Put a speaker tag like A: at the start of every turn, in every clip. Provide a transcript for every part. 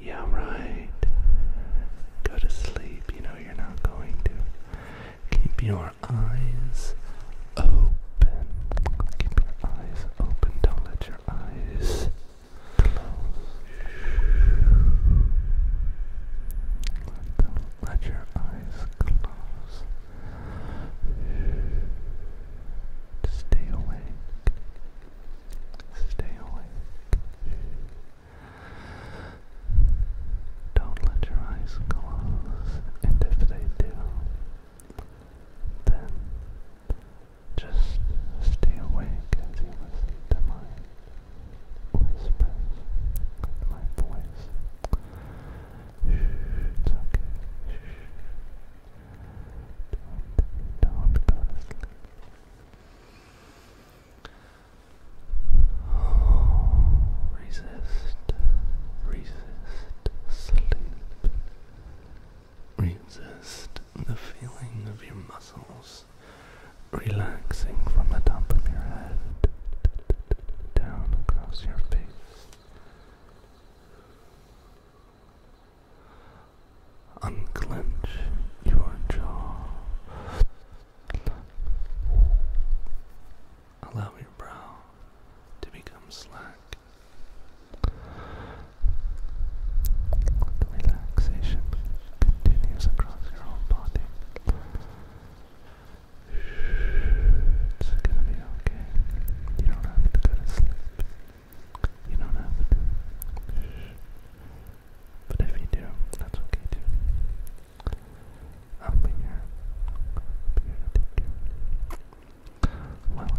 A: Yeah, right. Go to sleep. You know you're not going to. Keep your eyes open. Keep your eyes open. Don't let your eyes close. Don't let your eyes close. Stay awake. Stay awake. Don't let your eyes close, and if they do, then just stay awake as you listen to my whispers, my voice. okay. Don't, don't go to sleep resist, resist sleep. Resist the feeling of your muscles relaxing from the top of your head down across your face. Unclench your jaw. Allow your brow to become slack. The relaxation continues across your whole body. It's gonna be okay. You don't have to go to sleep. You don't have to. But if you do, that's okay too. I'll be here. be here to take you. While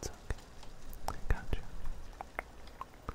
A: It's okay. got you. Shh.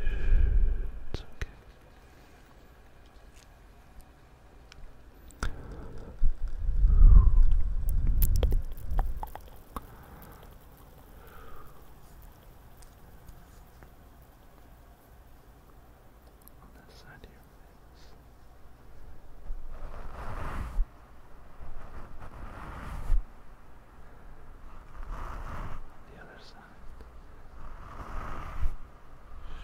A: It's okay. On this side here, the other side.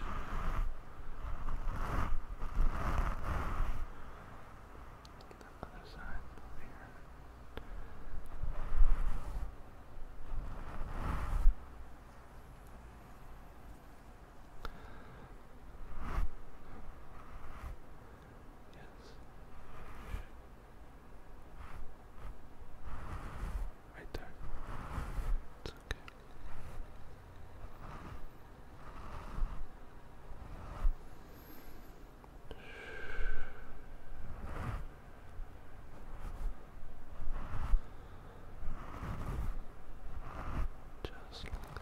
A: The other side over here. Good. Yes. Right there. okay. Just like that.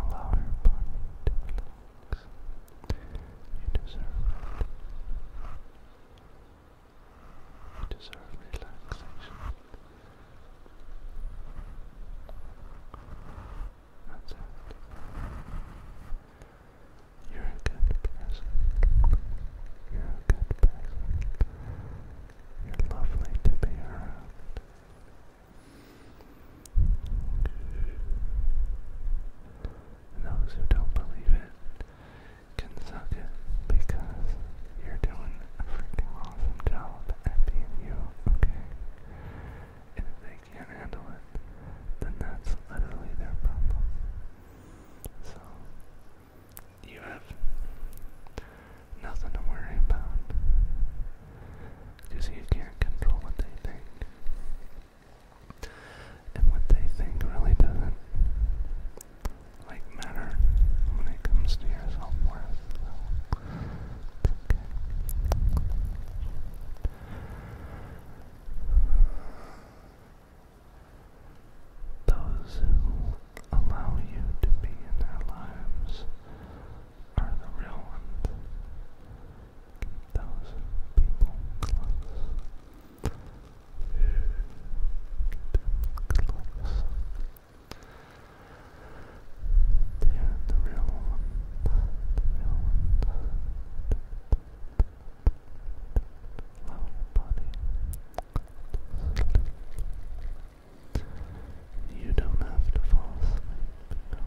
A: Allow your body to relax. You deserve it. You deserve relaxation. That's it. You're a good person. You're a good person. You're lovely to be around. And those who don't believe it can suck it because you're doing a freaking awesome job at being you, okay? And if they can't handle it, then that's literally their problem. So you have nothing to worry about because you can't control what they think. And what they think really doesn't like matter when it comes to your self worth. Those who allow you to be in their lives are the real ones. those people close. Keep close. are the real ones. The real ones. Love your body. You don't have to fall asleep.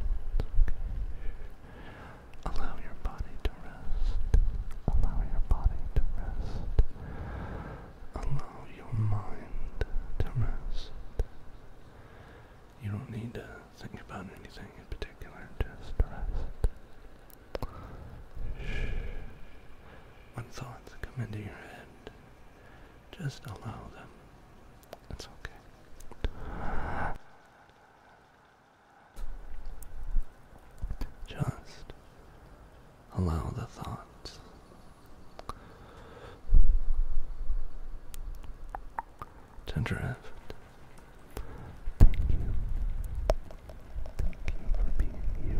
A: Allow your body to rest. Allow your body to rest. Allow your mind to rest. You don't need to think about anything in particular, just rest. When thoughts come into your head, just allow them. That's okay. Just allow the thoughts. To drift. Thank you for being you.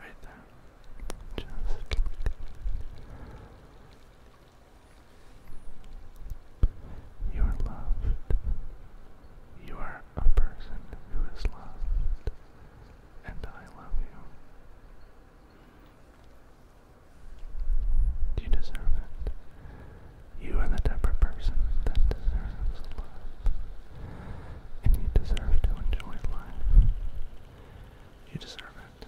A: Right there. Just you are loved. You are a person who is loved, and I love you. You deserve it. You are the type person that deserves love. And you deserve to enjoy life. You deserve it.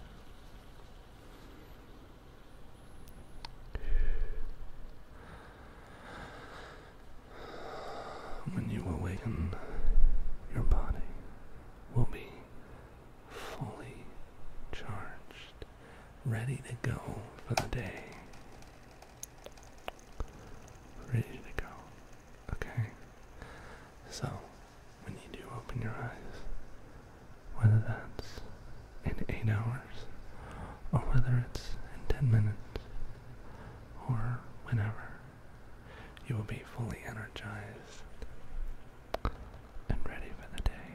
A: When you awaken, your body will be fully charged ready to go for the day. Ready to go. Okay? So, when you do open your eyes, whether that's in 8 hours, or whether it's in 10 minutes, or whenever, you will be fully energized and ready for the day.